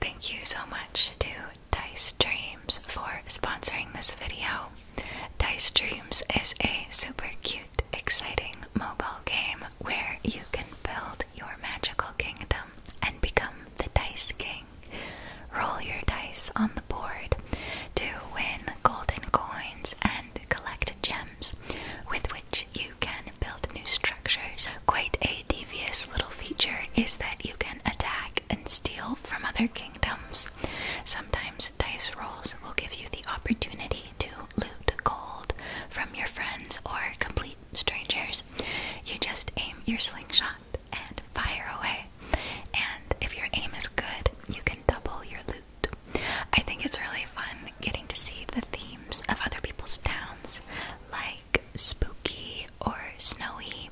Thank you so much to Dice Dreams for sponsoring this video. Dice Dreams is a super cute, exciting mobile game where you can build your magical kingdom and become the Dice King. Roll your dice on the board to win golden coins and collect gems with which you can build new strategies structures. Quite a devious little feature is that you can attack and steal from other kingdoms. Sometimes dice rolls will give you the opportunity to loot gold from your friends or complete strangers. You just aim your slingshot and fire away. And if your aim is good, you can double your loot. I think it's really fun getting to see the themes of other people's towns, like spooky or snowy,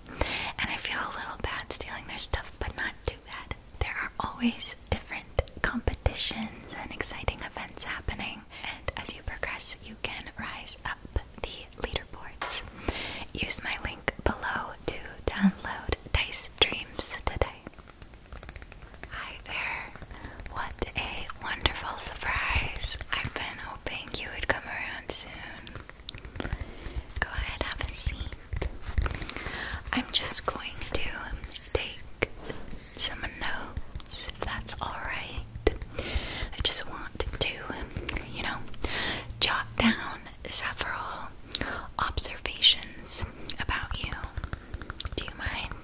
and I feel a little bad stealing their stuff, but not too bad. There are always different competitions and exciting events happening, and as you progress, you can rise up the leaderboards. Use my link below to download Dice Dreams today. Hi there! What a wonderful surprise! I've been hoping I think you would come around soon. Go ahead, have a seat. I'm just going to take some notes if that's alright. I just want to, you know, jot down several observations about you. Do you mind?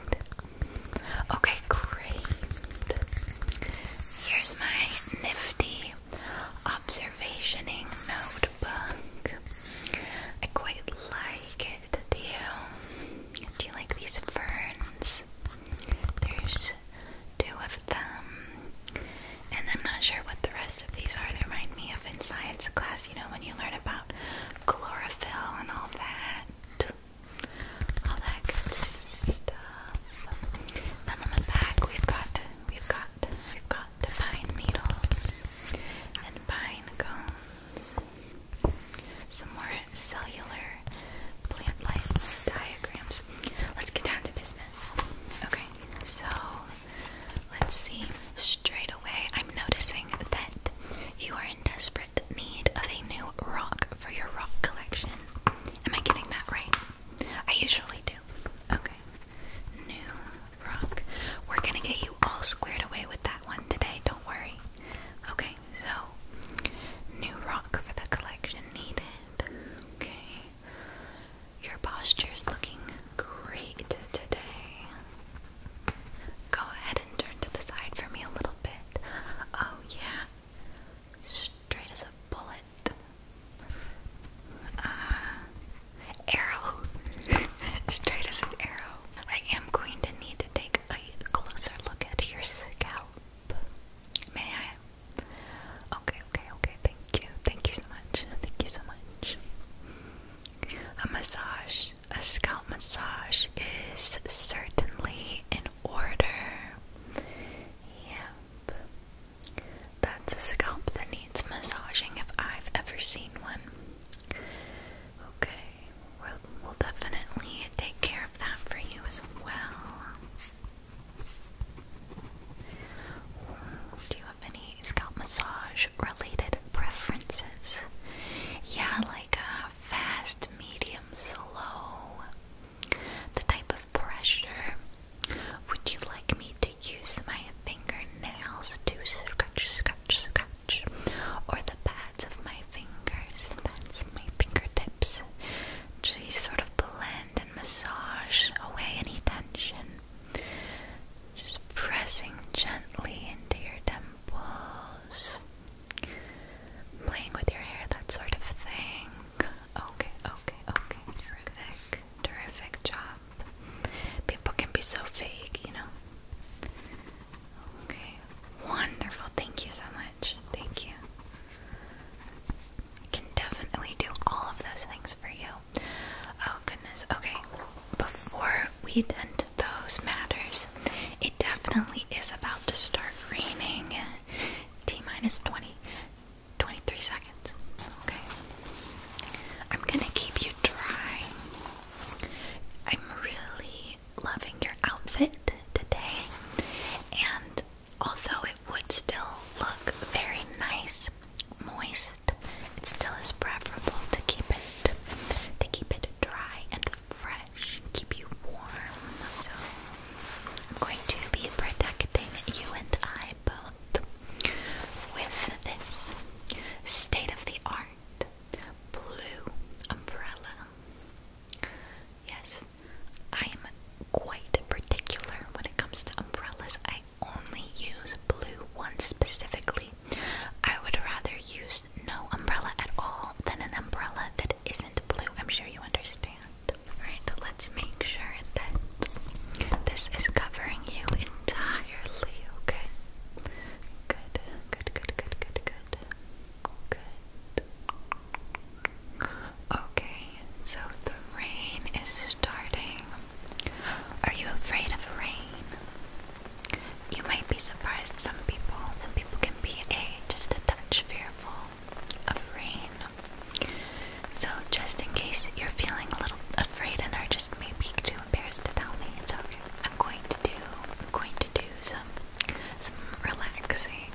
Okay, great. Here's my nifty observationing notebook. I quite like it. Do you? Do you like these ferns? There's two of them. And I'm not sure what the rest of these are. They remind me of in science class, you know, when you learn about chlorophyll and all that all that good stuff. Then on the back we've got we've got we've got the pine needles and pine cones. Some more cellular plant life diagrams. Let's get down to business. Okay, so let's see. Straight away, I'm noticing that you are in desperate need of a new rock for your rock collection. Am I getting that right? I usually do. Okay. New rock. We're gonna get you all squared away with that one today, don't worry. Okay, so new rock for the collection needed. Okay. Your posture's looking great today. Go ahead and turn to the side for me a little bit. Oh yeah. Straight as a bullet. Uh, arrow. Straight as an arrow. I am going to need to take a closer look at your scalp. May I? Okay, okay, okay. Thank you. Thank you so much. Thank you so much. A massage, a scalp massage is certainly in order. Yeah. That's a scalp that needs massaging if I've ever seen one. Okay, we'll, definitely take care of that for you as well. Do you have any scalp massage related preferences? Yeah, like a fast, medium, slow. The type of pressure. Would you like me to use my fingernails to scratch, scratch, scratch? Or the pads of my fingers, the pads of my fingertips? To sort of blend and massage away any tension. Just pressing gently into your temples. Playing with your hair, that sort of thing. Okay, okay, okay. Terrific. Terrific job. People can be so fake, you know. Okay. Wonderful. Thank you so much. Thank you. I can definitely do all of those things for you. Oh goodness. Okay. Before we tend to those matters, it definitely is about to start raining. T minus 20, 23 seconds. Okay. I'm gonna keep you dry. I'm really loving your outfit today, and although it would still look very nice, moist, it still is preferable to keep it to keep it dry and fresh, keep you warm. So I'm going to be protecting you and I both with this state of the art blue umbrella. Yes, I am quite particular when it comes to umbrellas. I only use blue ones specifically. I would rather use no umbrella at all than an umbrella that isn't blue. I'm sure you understand. Alright, let's make sure that this is covering you entirely, okay? Good, good, good, good, good, good. Good. Okay, so the rain is starting. Are you afraid of rain? You might be surprised some people. Some people can be a just a touch fearful of So, just in case you're feeling a little afraid and are just maybe too embarrassed to tell me, it's okay. I'm going to do, going to do some, some relaxing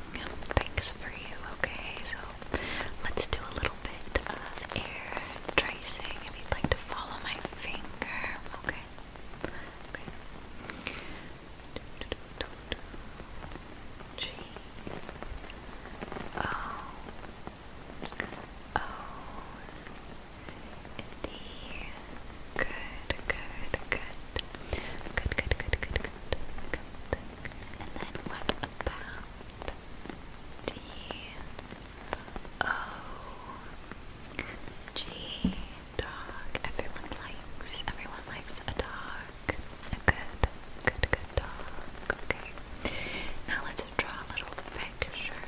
things for you. Okay, so let's do a little bit of air tracing. If you'd like to follow my finger, okay. G O O D. good, good, good, good, good, good, good, good. And then what about D O G dog? Everyone likes, everyone likes a dog. A good, good, good dog. Okay. Now let's draw a little picture.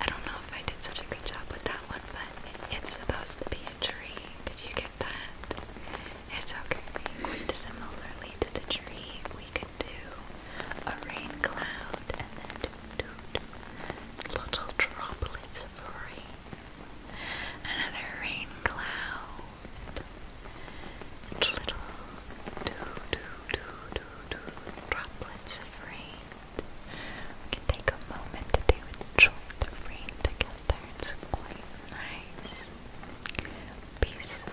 I don't know if I did such a good job with that one, but it's supposed to be a tree. Did you get that? It's okay. similarly to the tree we can do a rain cloud and then do, droplets of rain. Another rain cloud. Little droplets of rain. We can take a moment to enjoy the rain together. It's quite nice. Peaceful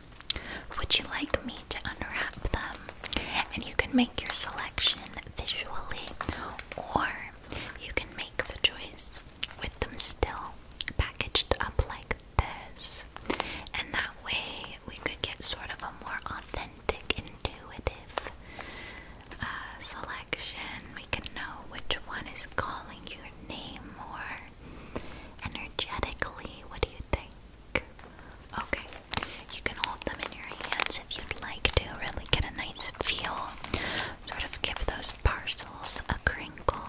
Would you like me to unwrap them? And you can make your selection visually, or you can make the choice with them still packaged up like this. And that way we could get sort of a more authentic, intuitive uh, selection. We can know which one is calling your name more energetically. What do you think? Okay, you can hold them in your hands if you'd like to really get a nice feel. Sort of give those parcels a crinkle,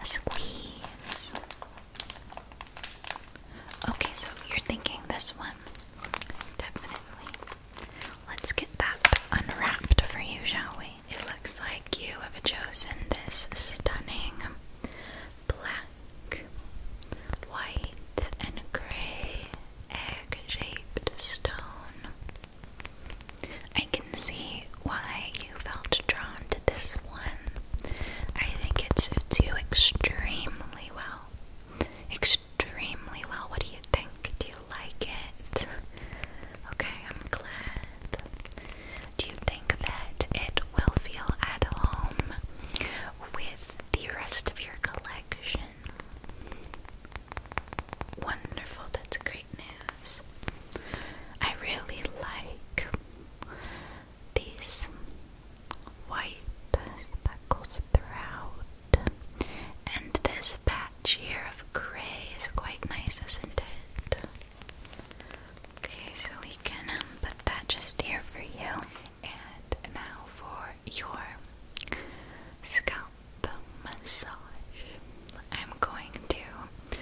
a squeeze. Okay, so you're thinking this one. Definitely. Let's get that unwrapped for you, shall we? It looks like you have chosen this stunning black, white, and gray egg shaped stone. I can see why you felt drawn to this one. I think it suits you extremely well. Extremely well. What do you think? Do you like it? Okay, I'm glad. Do you think that it will feel at home with the rest of your collection? Wonderful, that's great news. I really like these white speckles throughout, and this patch here of gray is quite nice, isn't it? Okay, so we can um, put that just here for you. And now for your scalp massage. I'm going to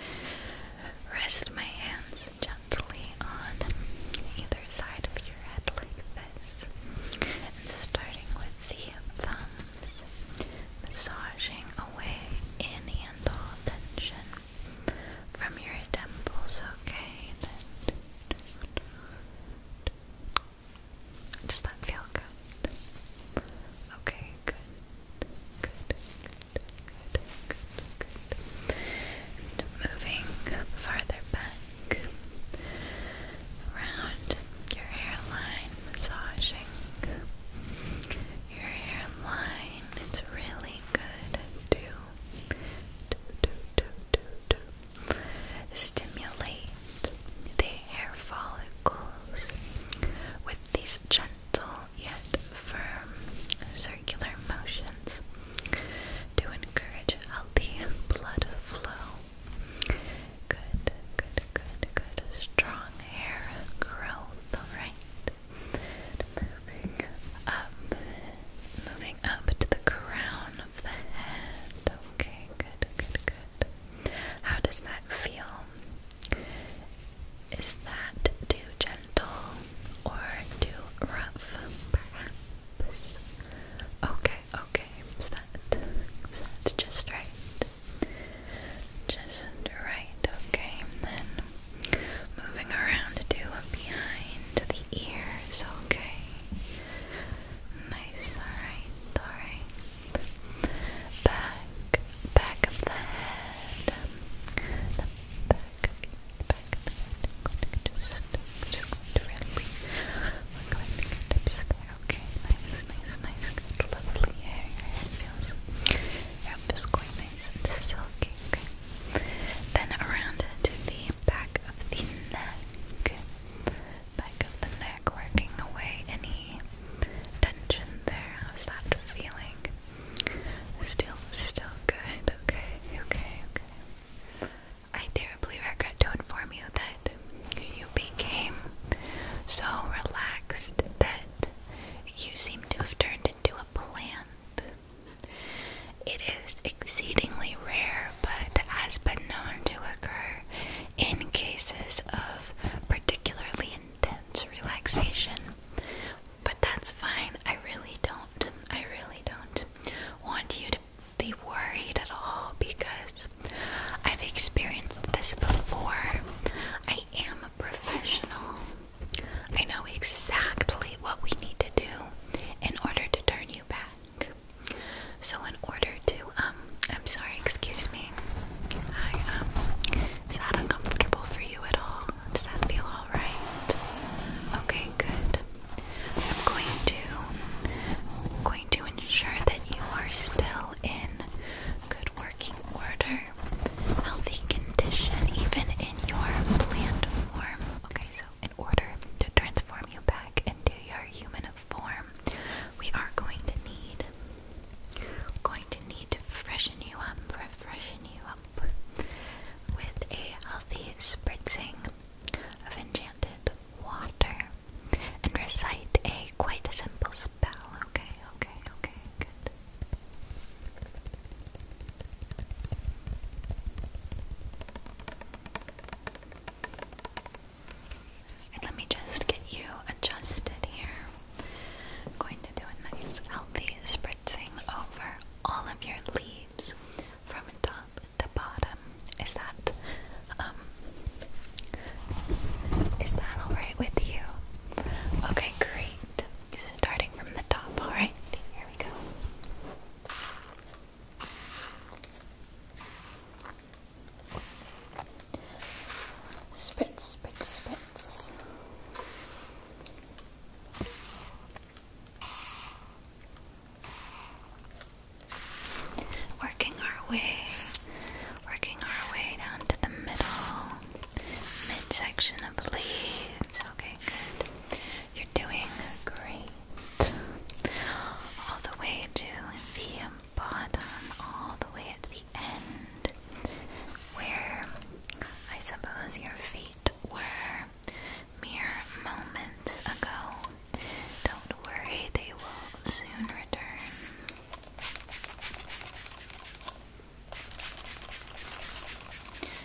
rest my hands gently on either side of your head like this. And starting with the thumbs, massaging away any and all tension from your temples, okay? does that feel good? Okay, good. Good, good, good, good, good. moving farther back, around your hairline, massaging your hairline. It's really good to Stimulate the hair follicles with these gentle yet firm circular motions to encourage healthy blood flow. Good, good, good, good. Strong hair growth, alright? Moving up, moving up to the crown of the head. Okay, good, good, good. How does that feel? Is that too gentle or too rough? Perhaps. Okay, okay. Is that just right? Just right, okay. then moving around to do behind the ears, okay? Nice, alright, alright. Back, back of the head. The back, back of going to just, going to really, we going to get tips there, okay? Nice, nice, nice, lovely hair. Your hair feels, yep, it's quite nice and silky. Okay. Then around to the back of the neck. Back of the neck, working away any tension there. How's that feeling? Still, still good. Okay, okay, okay. I terribly regret to inform you that you became so relaxed that you seem to have turned into a plant. It is exceedingly rare, but has been known to occur in cases of particularly intense relaxation. But that's fine. I really don't. I really don't want you to be worried at all because I've experienced this before. I am a professional. I know exactly what we need to do in order to turn you back. So, in order to, um, I'm sorry, excuse me. Hi, um, is that uncomfortable for you at all? Does that feel alright? Okay, good. I'm going to, I'm going to ensure that you are still in good working order healthy condition, even in your plant form. Okay, so in order to transform you back into your human form, we are going to need going to need freshen you up, refreshen you up with a healthy spritzing of enchanted water and recite a quite simple spell. Okay, okay, okay, good let me just get you adjusted here. I'm going to do a nice healthy spritzing over all of your leaves from top to bottom. Is that um is that all right with you? Okay, great. Starting from the top, alright? Here we go. Spritz, spritz, spritz. Working our way, working our way down to the middle midsection of the leaves. Okay, good. You're doing great. All the way to the bottom, all the way at the end, where I suppose your feet were mere moments ago. Don't worry, they will soon return.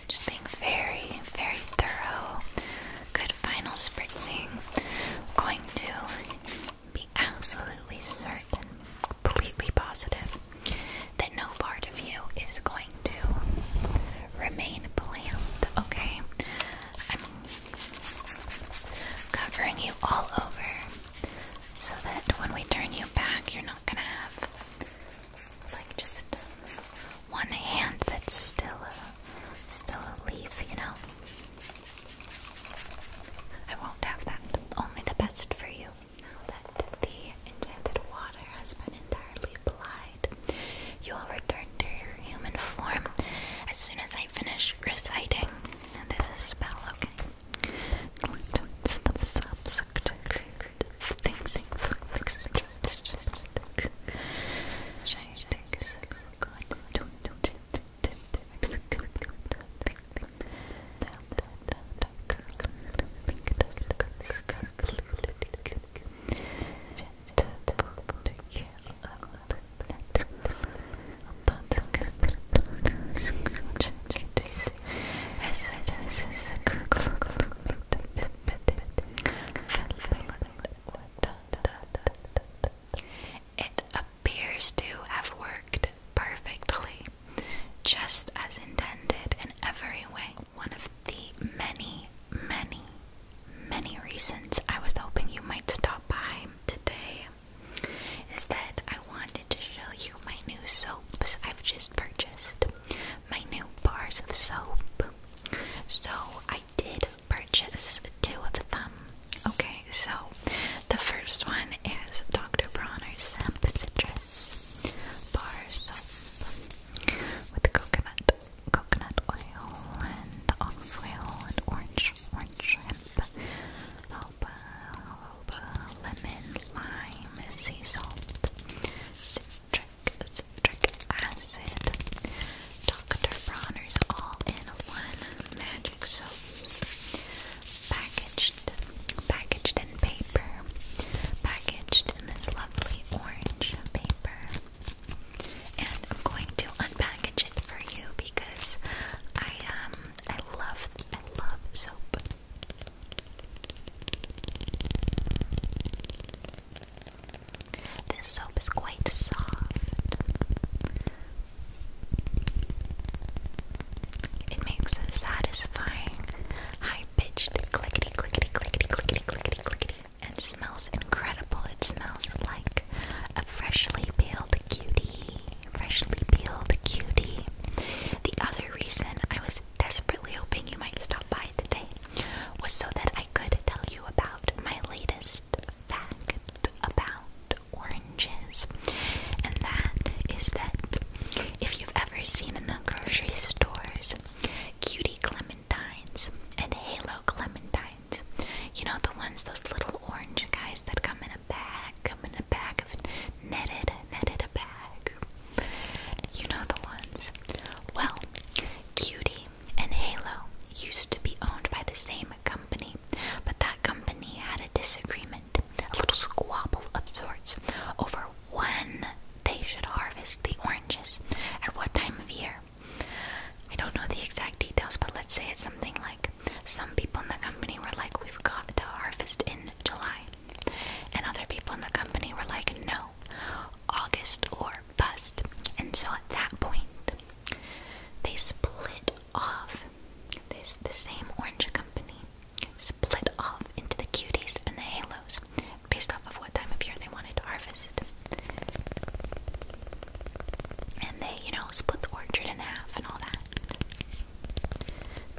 Just being very, very thorough. Good final spritzing. going to be absolutely certain, completely positive, that no part of you is going to remain bland, okay? I'm covering you all over so that when we turn you back, you're not gonna have like just one hand that's still a still a leaf, you know. I won't have that. Only the best for you. Now that the enchanted water has been entirely applied, you will return to your human form as soon as I finish reciting. this is spell, okay? It's the subject things Yes, this is a good look for me. It appears to have worked perfectly, just as intended in every way. One of the many, many, many reasons I was hoping you might stop by today is that I wanted to show you my new soaps I've just purchased my new bars of soap. So I did purchase two of them. Okay, so the first one is Dr. Bronner's Samp Citrus bars with coconut, coconut oil, and olive oil, and orange, orange shrimp, alba, lemon, lime, sea salt, citrus citric acid, Dr. Bronner's all-in-one magic soaps, packaged, packaged in paper, packaged in this lovely orange paper. And I'm going to unpackage it for you because I um I love I love soap. This soap is quite soft. It makes a satisfying, high-pitched clickety clickety clickety clickety clickety clickety and smells incredible. It smells like a freshly peeled cutie. Freshly peeled cutie. The other reason I was desperately hoping you might stop by today was so that I could tell you about my latest fact about oranges. And that is that if you've ever seen in the grocery stores cutie clementines and halo clementines, you know the ones, those little orange guys that come in a bag, come in a bag of netted, netted a bag. You know the ones. Well, Cutie and Halo used to be owned by the same company, but that company had a disagreement, a little squabble of sorts, over when they should harvest the oranges, at what time of year. I don't know the exact details, but let's say it's something like some people in the company were like, we've got to harvest in July. And other people in the company were like, no, August or bust. And so at that point, they split off. This the same orange company split off into the cuties and the halos based off of what time of year they wanted to harvest. And they, you know, split the orchard in half and all that.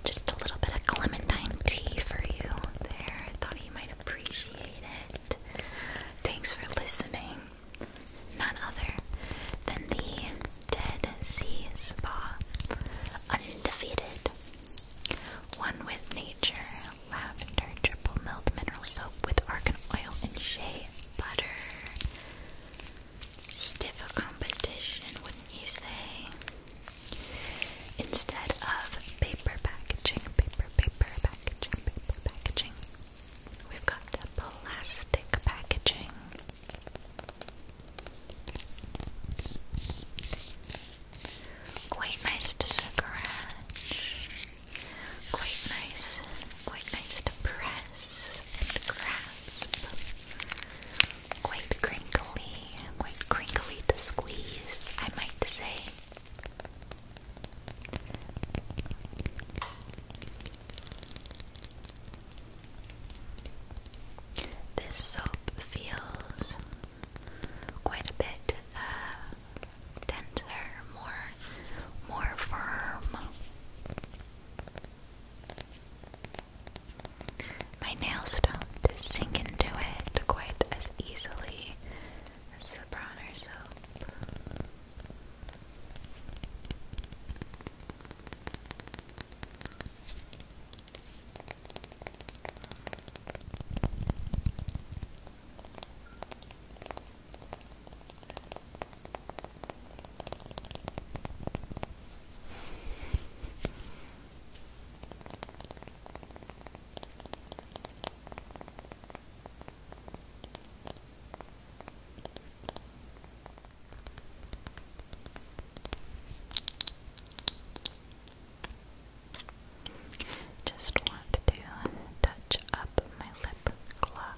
Just a little bit of clementine tea for you there. I thought you might appreciate it. Thanks for listening. None other than the Dead Sea Spa. Undefeated. One with nature. Lavender triple milled mineral soap with argan oil and shea butter. Stiff a competition, wouldn't you say? instead of paper packaging, paper, paper packaging, paper packaging. We've got plastic packaging. Quite nice to scratch. Quite nice. Quite nice to press and grasp. Quite crinkly. Quite crinkly to squeeze, I might say. This soap feels quite a bit denser, uh, more, more firm. My nails don't sink into it quite as easily see. the bronzer soap. Just want to touch up my lip gloss.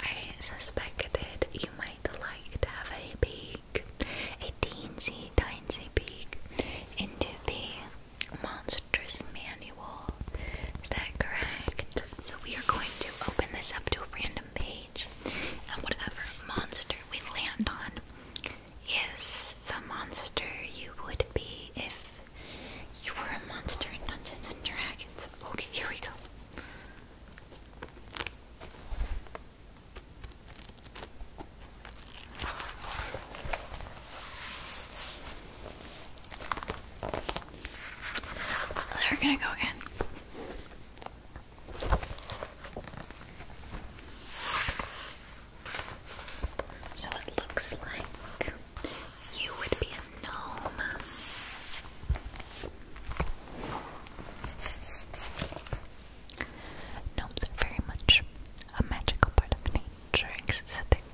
I suspected you might like to have a peek, a teensy tiny peek, into the monstrous manual. Is that correct? So we are going to open this up to a random page, and whatever monster we land on is the monster you would be if you were a monster in Dungeons and Dragons. Okay, here we go. They're gonna go again. So it looks like you would be a gnome. Gnomes are very much a magical part of nature, existing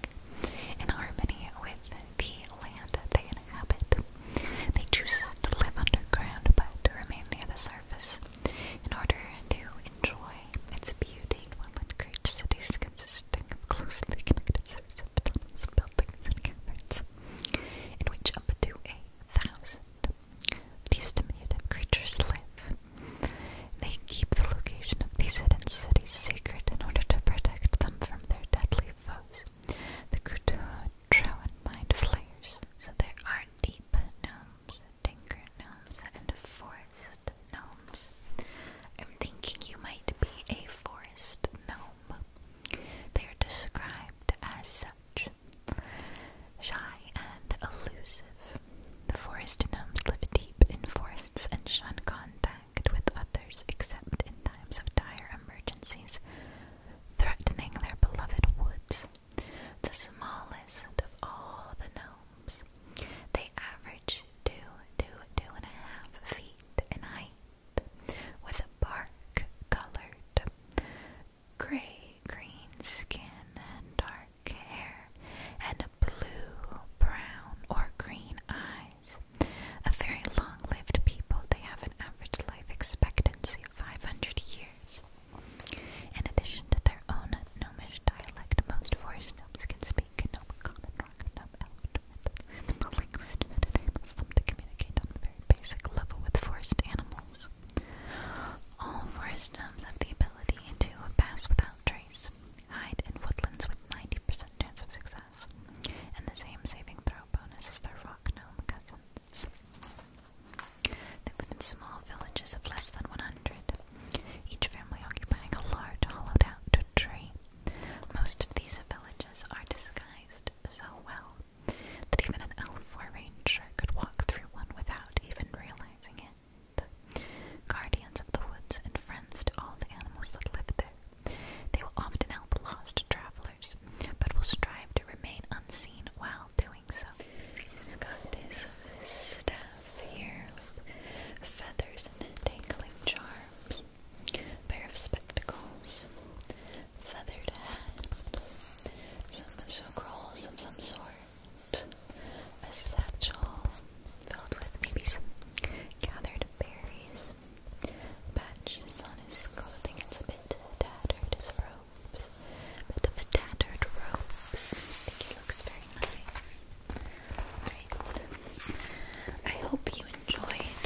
in harmony with the land they inhabit. They choose to live underground but to remain near the surface in order to enjoy way, its beauty will encourage cities consisting of closely connected series of tunnels, buildings, and caverns, in which up to a thousand these diminutive creatures live. They keep the location of these hidden cities secret in order to protect them from their deadly foes, the Kutro and Mind Flayers. So there are deep gnomes, tinker gnomes, and forest gnomes. I'm thinking you might be a forest gnome. They are described as such. Shy and elusive. The forest gnomes live deep in forests and shun contact with others except in times of dire emergencies, threatening their beloved woods. The smallest of all the gnomes. They average two, two, two and a half feet in height, with a bark colored gray green skin and dark hair, and blue, brown, or green eyes. A very long lived people, they have an average life expectancy of 500 years. In addition to their own gnomish dialect, most forest gnomes can speak Kingdom, common ragondom, elephant, the language that enables them to communicate on a very basic level with forest animals. All forest gnomes have the ability to pass without trace, hide in woodlands with 90% chance of success, and the same saving throw bonus as their rock gnome cousins. They live in small villages of less than 100 each family occupying a large hollowed out tree. Most of these villages are disguised so well that even an elf or ranger could walk through one without even realizing it. Guardians of the woods and friends to all the animals that live there. They will often help lost travelers, but will strive to remain unseen while doing so. He's got his staff sphere feathers and dangling charms, pair of spectacles, feathered hat, some sucrals of some sort, a satchel filled with maybe some gathered berries, patches on his clothing, it's a bit tattered, his robes, but bit of a tattered robes, I think he looks very nice. I hope you enjoyed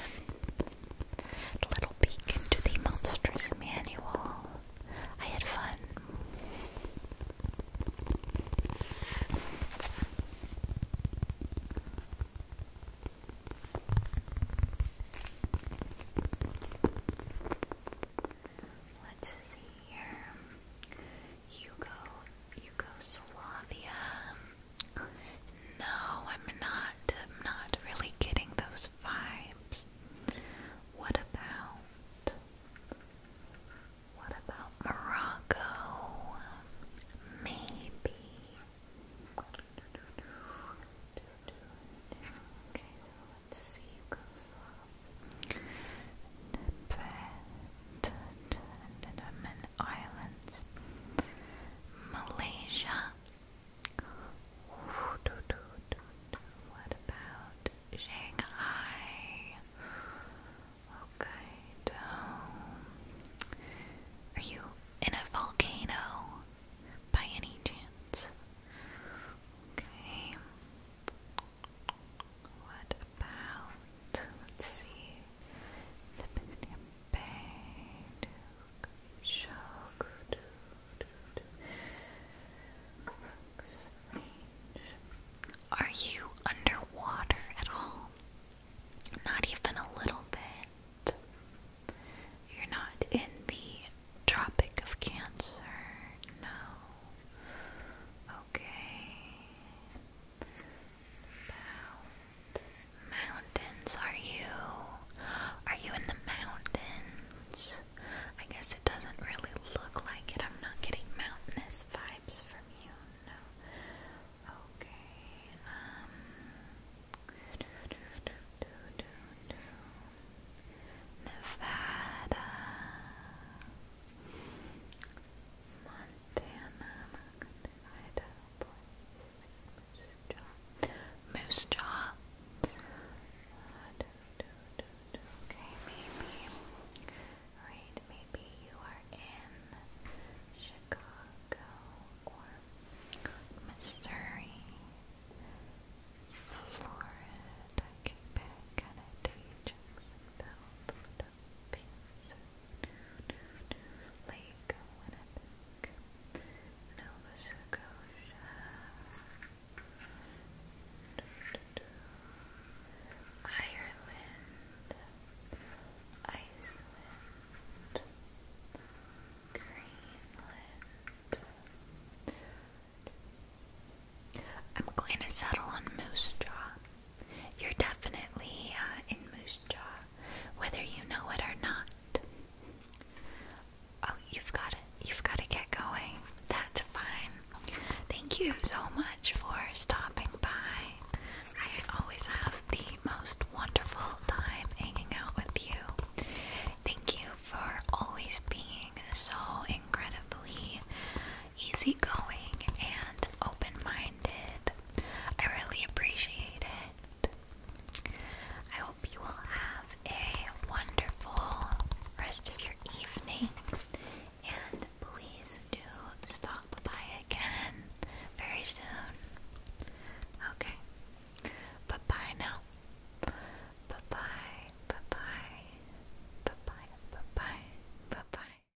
a little peek into the Monsters Manual. I had fun. Let's see here. Yugo, Yugoslavia. No, I'm not. I'm not really getting those vibes. What about? What about Morocco? Maybe. Okay, so let's see Andaman Islands, Malaysia. What about Shanghai? Okay, are you in a volcano by any chance? What about, let's see, Are you underwater at all? Not even a little bit. You're not in the Tropic of Cancer, no. Okay mountains, are you? Are you in the mountains? I guess it doesn't really look like it. I'm not getting mountainous vibes from you, no. Okay, um. Nevada. Montana, Idaho, Moose Moose Jaw. maybe. Right, maybe you are in Chicago or Missouri, Florida, Quebec, Canada, Pennsylvania. Lake Winnipeg, Nova Scotia. Ireland, Iceland, Greenland. I'm going to settle on Moose Jaw. You're definitely uh, in Moose Jaw, whether you know it or not. Oh, you've got it. You've got to get going. That's fine. Thank you so much for stopping by. I always have the most wonderful time hanging out with you. Thank you for always being so incredibly easygoing and open minded. I really appreciate it. I hope you will have a wonderful rest of your evening and please do stop by again very soon. Okay. Bye bye now. Bye bye. Bye bye. Bye bye. Bye bye. Bye bye.